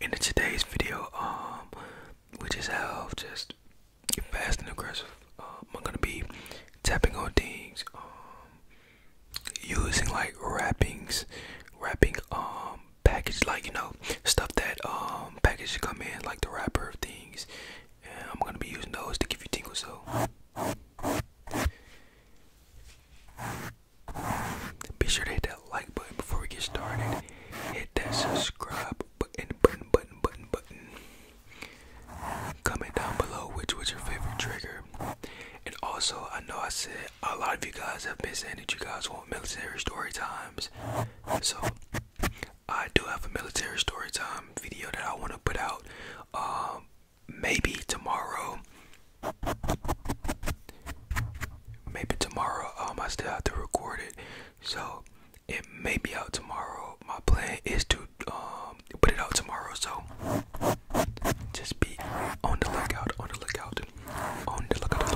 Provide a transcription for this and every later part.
in today's video, um, we just have just fast and aggressive. Um, I'm gonna be tapping on things, um, using like wrappings, wrapping, um, package like you know stuff that um package come in like the wrapper of things, and I'm gonna be using those to give you tingles. So. Be sure to hit that like button before we get started. Hit that subscribe button, button, button, button, button. Comment down below which was your favorite trigger. And also, I know I said a lot of you guys have been saying that you guys want military story times. So, I do have a military story time video that I want to put out. Um, maybe tomorrow maybe tomorrow um I still have to record it so it may be out tomorrow my plan is to um put it out tomorrow so just be on the lookout on the lookout on the lookout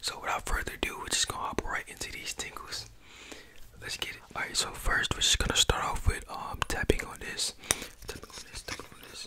so without further ado we're just gonna hop right into these tingles let's get it all right so first we're just gonna start off with um tapping on this tapping on this tapping on this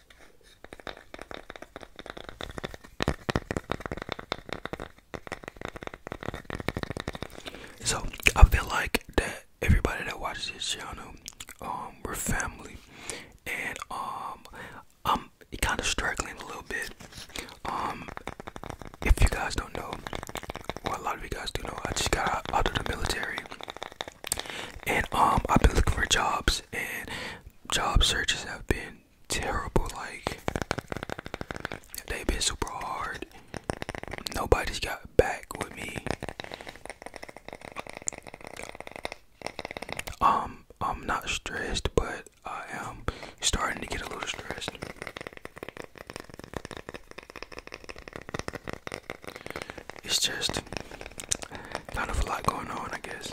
So I feel like that everybody that watches this channel, um, we're family, and um, I'm kind of struggling a little bit. Um, if you guys don't know, well, a lot of you guys do know, I just got out of the military and um I've been looking for jobs and job searches have been terrible like they've been super hard nobody's got back with me um I'm not stressed but I am starting to get a little stressed it's just kind of a lot going on, I guess.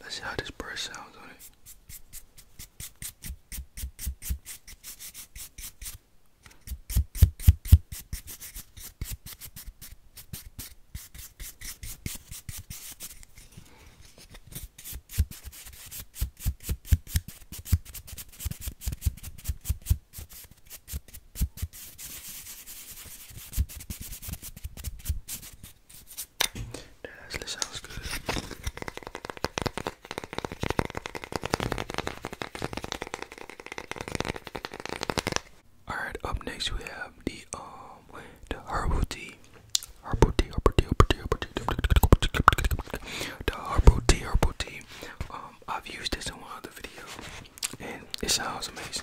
Let's see how this bird sounds on it. That actually sounds good. Alright, up next we have the um the herbal tea. Herbal tea, herbal tea, herbal tea, herbal tea. The herbal tea, herbal tea. Um, I've used this in one other video, and it sounds amazing.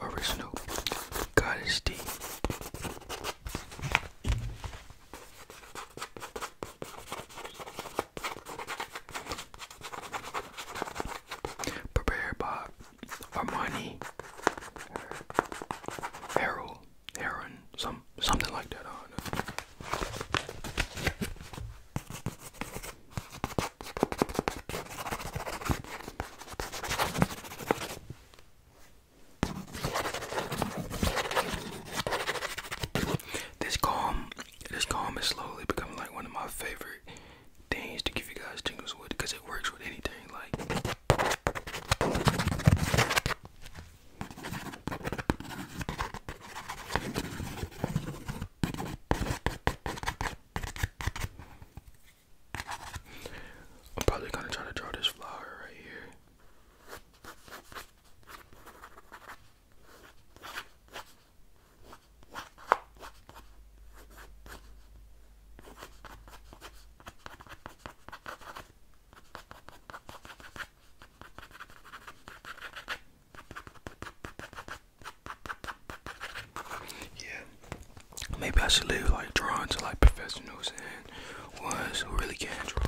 Original Goddess D. Prepared by Armani, Harold, Heron, some something like that. I this calm, this calm is slowly becoming like one of my favorite things to give you guys tingles with because it works with anything. Like, I'm probably gonna try to draw this flower right here. Yeah, maybe I should leave like drawing to like professionals was really casual.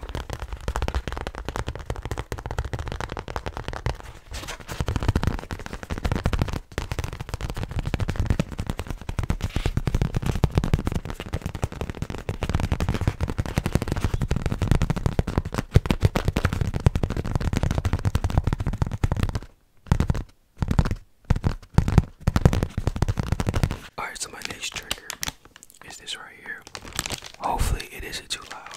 Alright, so my next trigger is this right here. Hopefully, it isn't too loud.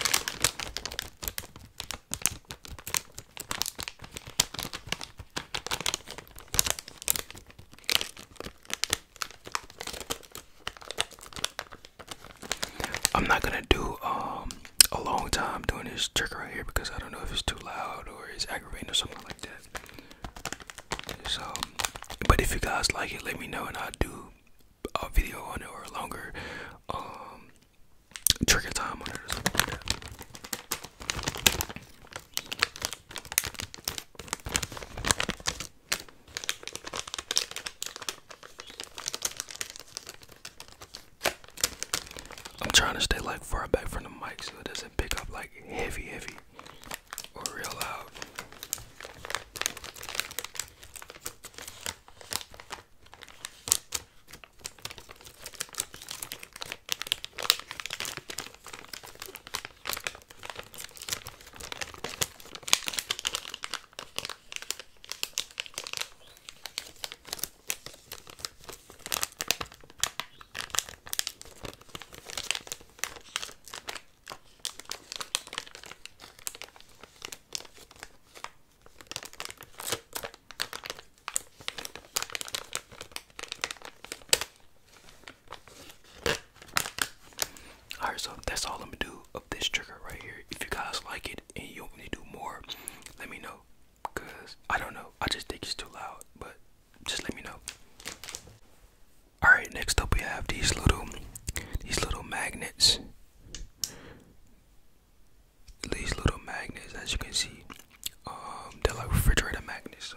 I'm not gonna do um a long time doing this trick right here because I don't know if it's too loud or it's aggravating or something like that. So, um, but if you guys like it, let me know, and I'll do a video on it or a longer um, trigger time on it or I'm trying to stay like far back from the mic so it doesn't pick up like heavy, heavy or real loud. All right, so that's all I'm gonna do of this trigger right here. If you guys like it and you want me to do more, let me know. Cause I don't know, I just think it's too loud, but just let me know. All right, next up we have these little these little magnets. These little magnets, as you can see, um, they're like refrigerator magnets. So.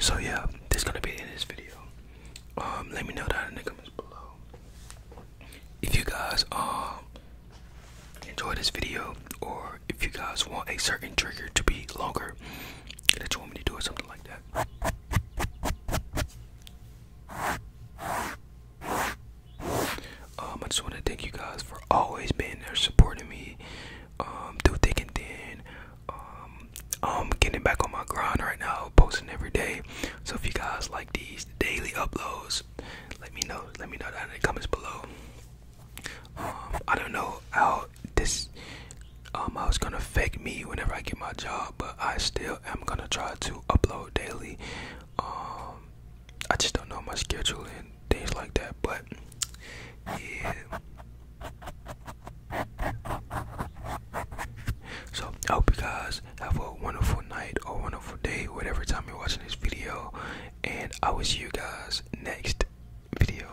So yeah, this is gonna be in this video. Um, let me know down in the comments below if you guys um enjoy this video or if you guys want a certain trigger to be longer that you want me to do or something like that. Um, I just want to thank you guys for always being there, supporting me um, through thick and thin. Um, I'm getting back on my grind right now, posting every day. So if you guys like these daily uploads, let me know. Let me know down in the comments below. Um, I don't know how this um I was gonna fake me whenever I get my job, but I still am gonna try to upload daily. Um I just don't know my schedule and things like that, but yeah. So I hope you guys have a wonderful night or wonderful day, whatever time you're watching this video, and I will see you guys next video.